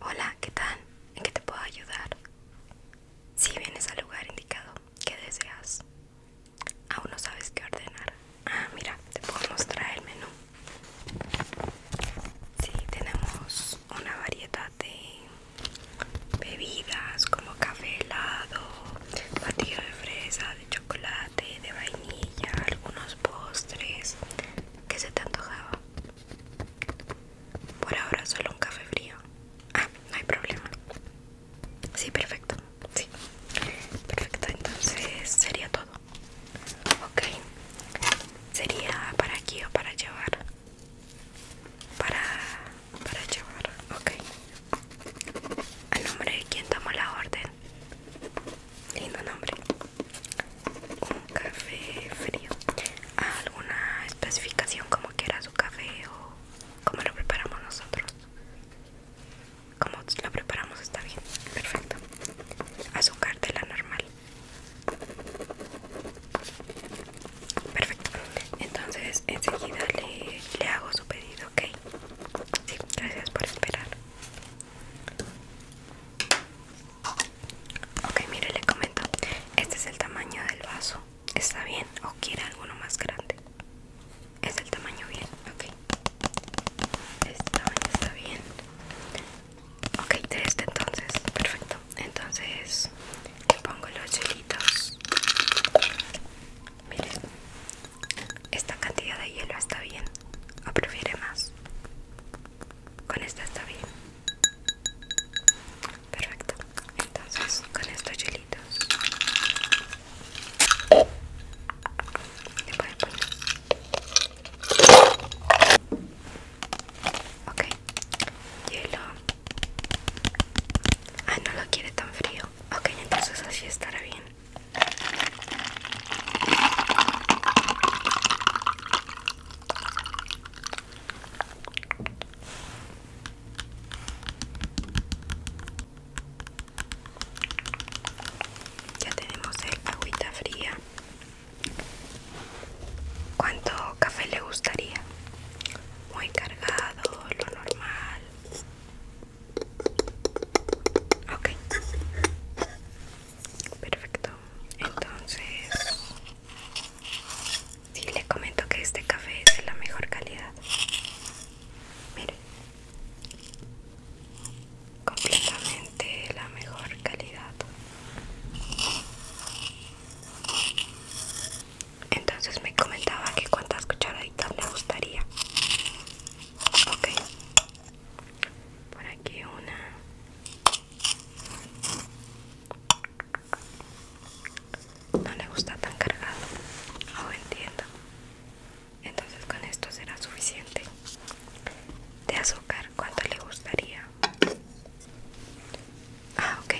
Hola, ¿qué tal? ¿En qué te puedo ayudar? Si vienes al lugar indicado, ¿qué deseas? Aún no sabes qué ordenar. Ah, mira, te puedo mostrar el menú. Sí, tenemos una variedad de bebidas como café helado, batido de fresa, de chocolate, de vainilla, algunos postres. ¿Qué se te antojaba? Por ahora solo un café frío. Ah, no hay problema. Sí, perfecto. Sí. Perfecto, entonces sería todo. Ok. Sería para aquí o para llevar. Para para llevar. Ok. ¿A nombre de quién damos la orden? lindo nombre un café frío alguna especificación como quiera su café o como lo preparamos nosotros como lo preparamos está bien perfecto azúcar de la normal perfecto entonces enseguida le, hago su pedido ok sí gracias por esperar Ok, mire, le comento. Este es el tamaño del vaso. ¿Está bien o quiere alguno más grande? Es el tamaño bien, ok. Este tamaño está bien. Ok, de este entonces, perfecto. Entonces, le pongo los hielitos. Mire, esta cantidad de hielo está bien. ¿O prefiere más? con esta está bien perfecto entonces con estos hielitos okay ok hielo ah no lo quiere tan frío ok entonces así estará bien ya tenemos el agüita fría. ¿Cuánto café le gustaría? Muy cargado, lo normal. Ok perfecto entonces si le comento que este café es de la mejor calidad mire completamente la mejor calidad entonces me comentaba que cuántas cucharaditas le gustaría ok por aquí una no le gusta tan cargado no oh, entiendo entonces con esto será suficiente de azúcar cuánto le gustaría ah ok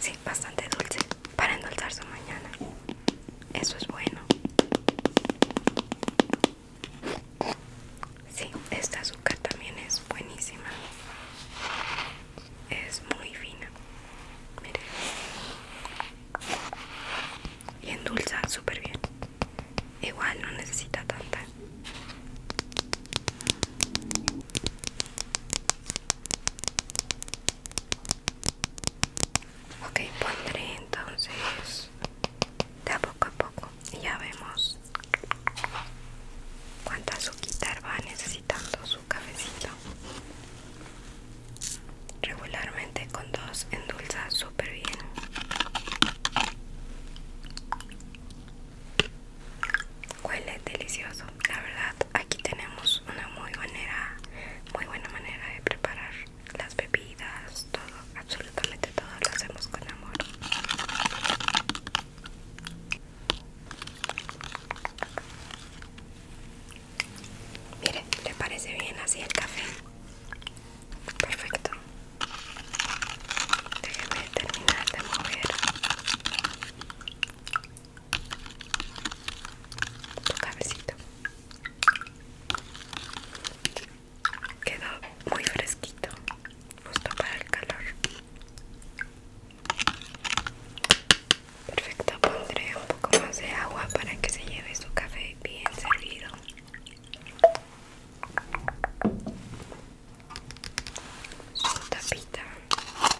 sí bastante dulce para endulzar su mañana eso es bueno Sí, esta azúcar también es buenísima. Es muy fina. Miren. Y endulza súper bien. Igual no necesita tanta. Ok, pondré entonces de a poco a poco ya vemos cuánta azúcar va necesitando su cafecito regularmente con dos endulza súper bien huele delicioso la verdad aquí tenemos una muy buena muy buena manera de preparar las bebidas, todo, absolutamente todo lo hacemos con amor. Mire, ¿le parece bien así el café? Perfecto. Déjeme terminar de mover tu cabecito quedó muy fresquito justo para el calor perfecto pondré un poco más de agua para que se lleve su café bien servido su tapita un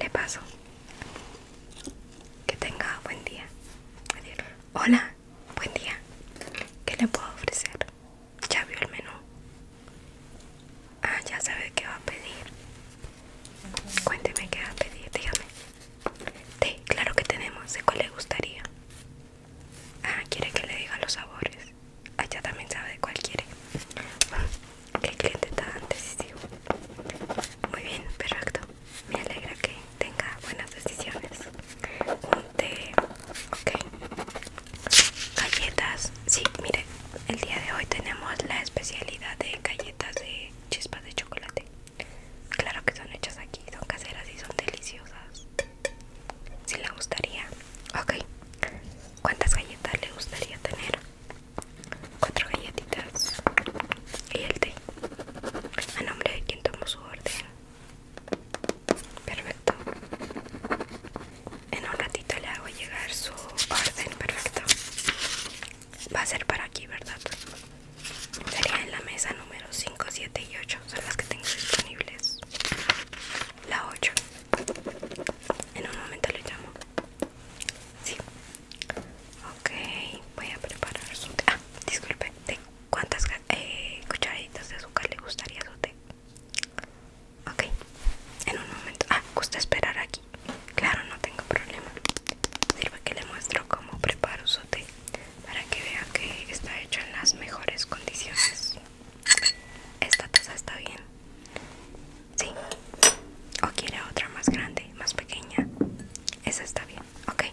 le paso. Que tenga buen día. Hola, buen día. ¿Qué le puedo ofrecer? Ya vio el menú. Ah, ya sabe qué va a pedir. Cuénteme qué va a pedir, dígame. Sí, claro que tenemos. ¿De cuál le gustaría? Ah, quiere que le diga los sabores. Allá ah, también sabe de cuál quiere. el cliente está decisivo. Muy bien, perfecto. Me alegra que tenga buenas decisiones. Un té, ok. Galletas, sí, mire, el día de hoy tenemos la especialidad de galletas de chispas de chocolate. Claro que son hechas aquí, son caseras y son deliciosas. Si le gustaría. Ok. ¿Cuántas galletas le gustaría tener? Cuatro galletitas. Y el té. A nombre de quien tomó su orden. Perfecto. En un ratito le hago llegar su orden. Perfecto. Va a ser para aquí, ¿verdad? Sería en la mesa número 5, 7 y 8 son las que tengo disponibles. La 8. En un momento le llamo. Sí. Ok, voy a preparar su Ah, disculpe, cuántas eh, cucharaditas de azúcar le gustaría su té? Ok, en un momento. Ah, gusta esperar aquí. Claro, no tengo problema. Sirve que le muestro cómo preparo su té para que vea que está hecho en las mejores condiciones. Esta taza está bien. Sí. O quiere otra más grande, más pequeña. Esa está bien. Ok.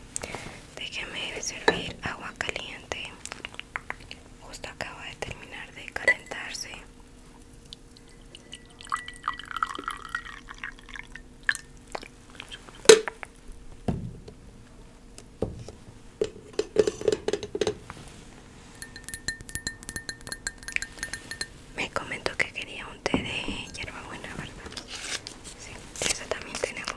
Déjeme servir agua caliente. Justo acaba de terminar de calentarse. Me comentó que quería un té de hierba buena, ¿verdad? Sí, esa también tenemos.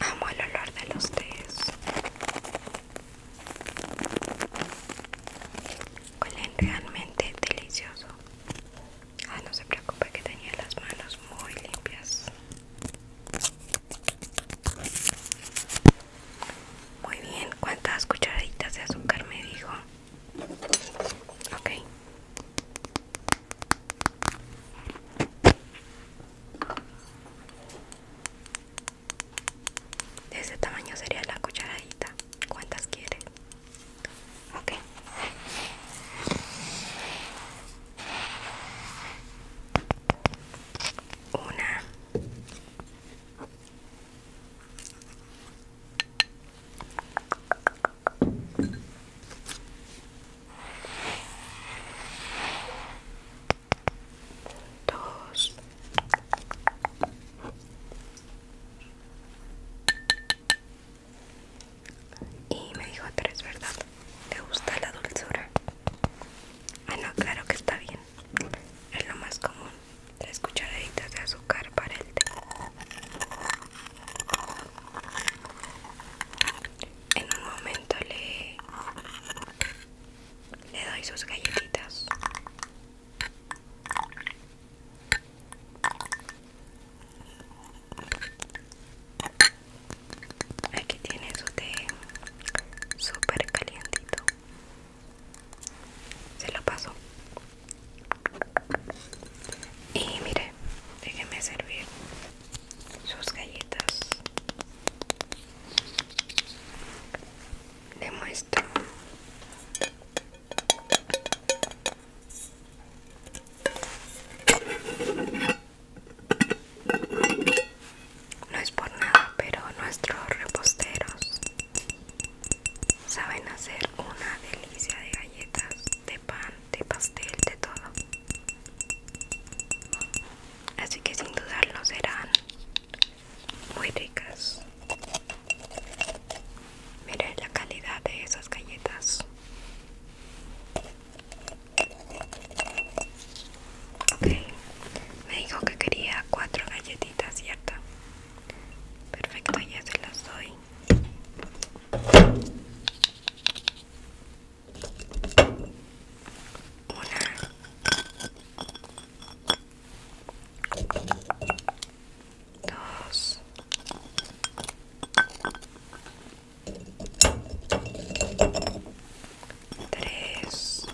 Amo el olor de los tés. Huelen realmente delicioso. Ah, no se preocupe que tenía las manos muy limpias. Muy bien, ¿cuántas cucharaditas de azúcar me dijo? Ok. De ese tamaño sería la cucharadita. ¿Cuántas quiere? Ok una dos y me dijo tres, ¿verdad? ¿Te gusta la dulzura? Bueno, ah, claro que está bien. Es lo más común. Tres cucharaditas de azúcar para el té. En un momento le, le doy sus galletitas. Aquí tiene su té súper calientito. Se lo paso. Y mire, déjeme servir sus galletas. Le muestro. No es por nada, pero nuestros reposteros saben hacer una delicia de galletas, de pan, de pastel, de todo. Así que sin dudarlo serán muy ricas. Miren la calidad de esas galletas. Ok, me dijo que quería cuatro galletitas, ¿cierto? Perfecto, ya se las doy. Una, dos, 3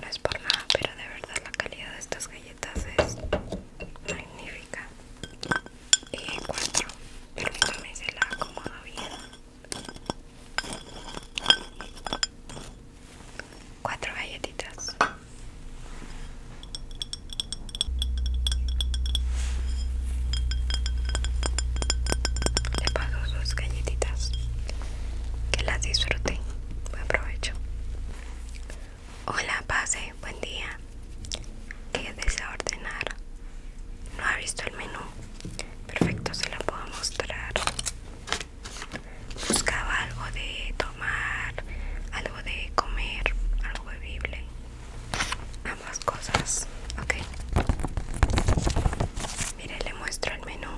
no es por nada pero de verdad la calidad de estas galletas es magnífica y 4 el me se la acomoda bien 4 galletitas le paso sus galletitas. Que las disfruten. Buen provecho. Hola, pase. Buen día. ¿Qué desea ordenar? No ha visto el menú. Perfecto, se la puedo mostrar. Buscaba algo de tomar, algo de comer, algo bebible ambas cosas ok mire le muestro el menú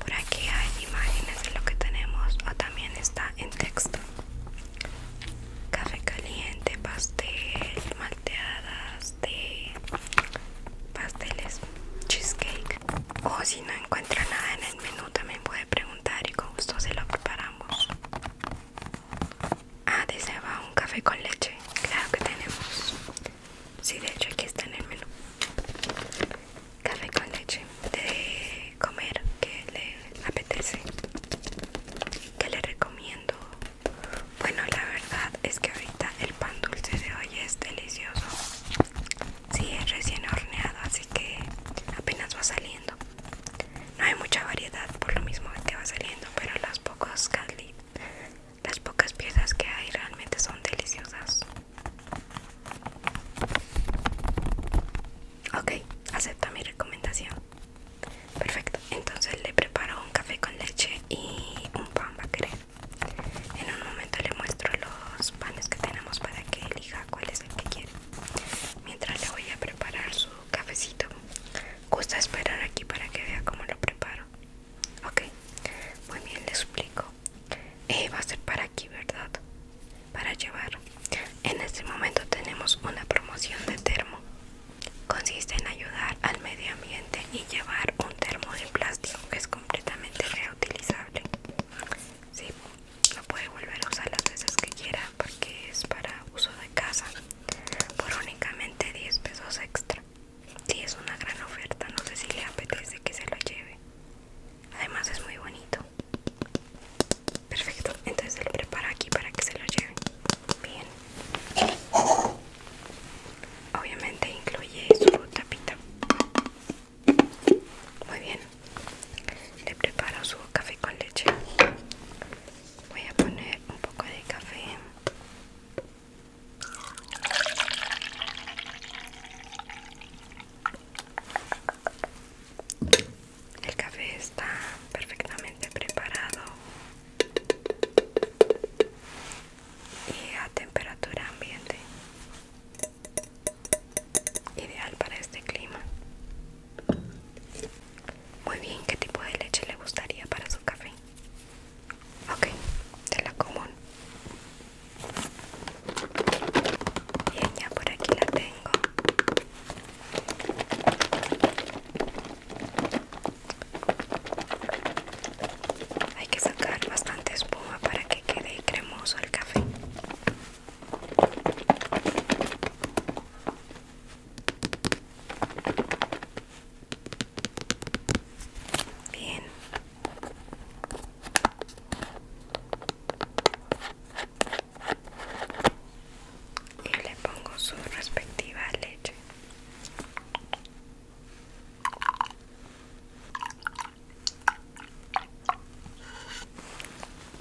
por aquí hay imágenes de lo que tenemos o también está en texto café caliente pastel malteadas de pasteles cheesecake o si no encuentra nada en el menú también puede preguntar y con gusto se lo preparamos Ah, deseaba un café con leche. Claro que tenemos. Sí, de hecho aquí está en el menú. Café con leche de comer que le apetece. Que le recomiendo. Bueno, la verdad es que ahorita el pan dulce de hoy es delicioso. Sí, es recién horneado, así que apenas va saliendo. No hay mucha variedad por lo mismo que va saliendo, pero los pocos las pocas piezas que hay realmente son deliciosas. Ok, acepta mi recomendación. Perfecto, entonces le preparo un café con leche y un pan querer En un momento le muestro los panes que tenemos para que elija cuál es el que quiere. Mientras le voy a preparar su cafecito, gusta esperar aquí para que vea cómo lo preparo ok muy bien les explico eh, va a ser para aquí verdad para llevar en este momento tenemos una promoción de termo consiste en ayudar al medio ambiente y llevar un termo de plástico que es completamente reutilizable sí, lo puede volver a usar las veces que quiera porque es para uso de casa por únicamente 10 pesos extra. Sí, es una gran oferta, no sé si le apetece que se lo lleve. Además es muy bonito. Perfecto, entonces se lo prepara aquí para que se lo lleve. Bien. Obviamente incluye su tapita. Muy bien. Le preparo su café con leche. Voy a poner un poco de café. El café está perfectamente preparado y a temperatura ambiente, ideal para este clima. Muy bien, ¿qué tipo de leche le gustaría para su café? Okay, Ok, de la común. Bien, ya por aquí la tengo. Hay que sacar bastante espuma para que quede cremoso el café. Bien. Y le pongo su respectiva leche.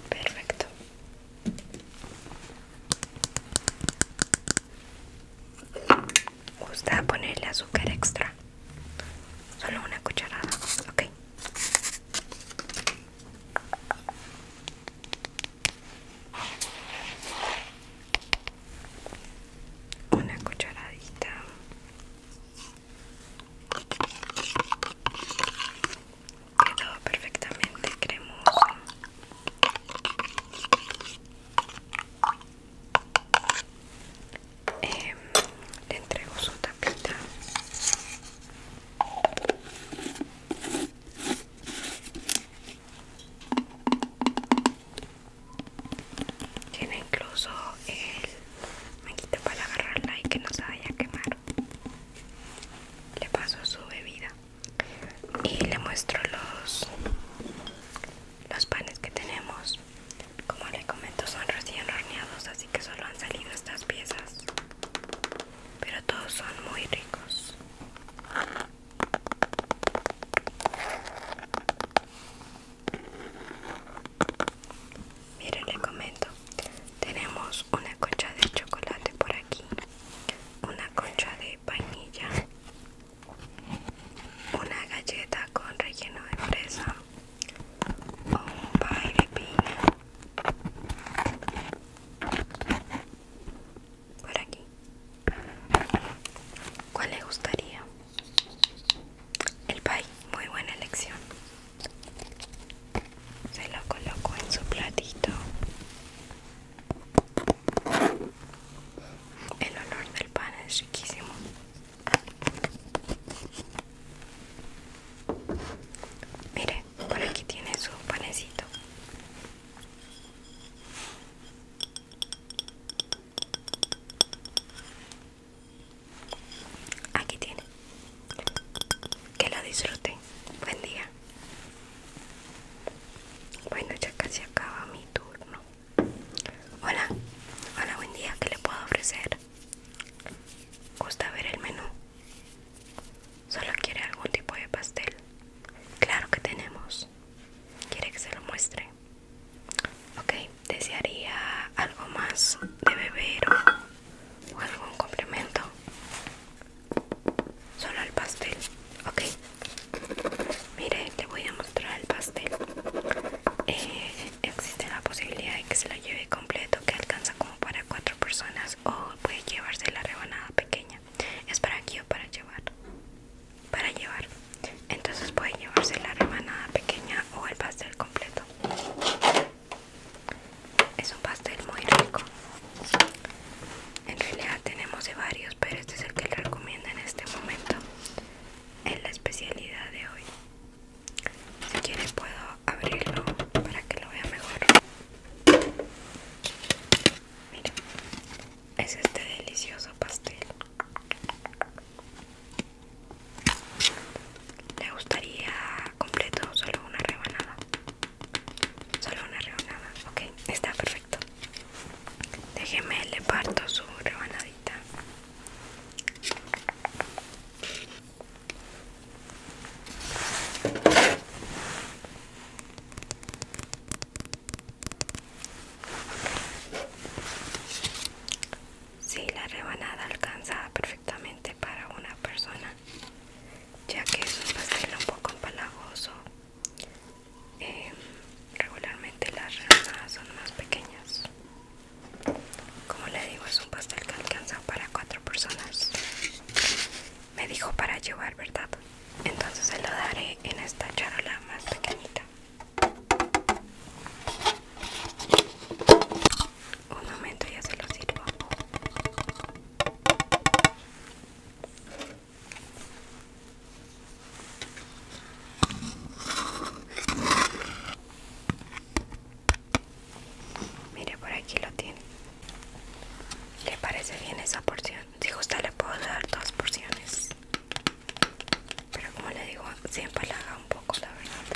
Perfecto. Gusta ponerle azúcar extra. Solo una cucharada, ok. Una cucharadita. Quedó perfectamente cremoso. Em, le entrego su tapita tiene incluso el maquito para agarrarla y que no se vaya a quemar le paso su bebida y le muestro los los panes que tenemos como le comento son recién horneados así que solo han salido estas piezas pero todos son muy ricos Miren, le comento, tenemos una concha de chocolate por aquí, una concha de una galleta con relleno de fresa o un pie de piña. Por aquí. ¿Cuál le gustaría? El pie, muy buena elección. Se lo coloco en su platito el olor del pan es riquísimo. Mire, por aquí tiene su panecito. Aquí tiene. Que lo disfruten. Buen día. Bueno, ya casi acaba mi turno. Hola, hola, buen día. ¿Qué le puedo ofrecer? ¿Gusta ver el menú? ¿Solo quiere algún tipo de pastel? Claro que tenemos. ¿Quiere que se lo muestre? Ok, ¿desearía algo más de beber o algún complemento? Solo el pastel. Ok. Mire, te voy a mostrar el pastel. Eh, existe la posibilidad de que se lo lleve completo, que alcanza como para cuatro personas, o puede llevarse la rebanada pequeña. Es para aquí o para llevar. Para llevar. Entonces puede llevarse la rebanada pequeña o el pastel completo. Es un pastel muy rico. En realidad tenemos de varios, pero este es el que le recomiendo en este momento. en la especialidad de hoy. Si quiere puedo abrirlo para que lo vea mejor. miren, es este delicioso pastel. ¿Le gustaría completo solo una rebanada? Solo una rebanada, ok, está perfecto. Déjeme, le parto su rebanadita. Sí, la rebanada alcanza perfectamente para una persona ya que es un pastel un poco empalagoso. Em, regularmente las ramas son más pequeñas. Como le digo, es un pastel que alcanza para cuatro personas. Me dijo para llevar, ¿verdad? Entonces se lo daré en esta charola más pequeñita. Un momento, ya se lo sirvo. Mire, por aquí lo tiene. ¿Le parece bien esa porción? Si gusta le puedo dar dos porciones. Pero como le digo, siempre la haga un poco, la verdad.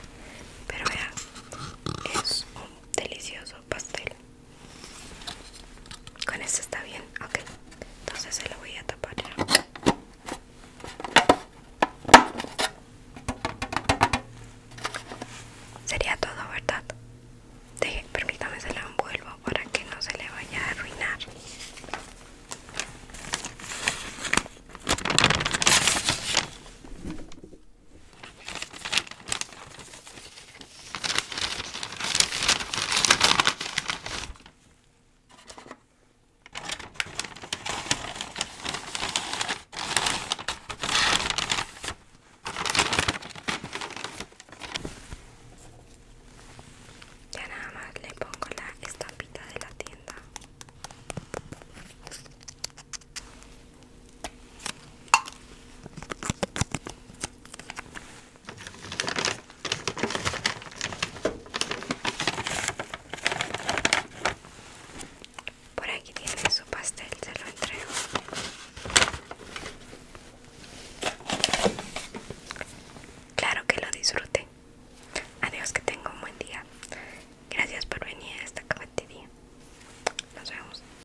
Pero vean, es un delicioso pastel. Con esto está bien, ok. Entonces se lo voy a tapar. Sería todo, ¿verdad? permítame se lo envuelvo para que no se le vaya a arruinar. Ya nada más le pongo la estampita de la tienda. Por aquí tiene su pastel, se lo entrego. Claro que lo disfrute Adiós, que tenga un buen día. Gracias por venir a esta cafetería. Nos vemos.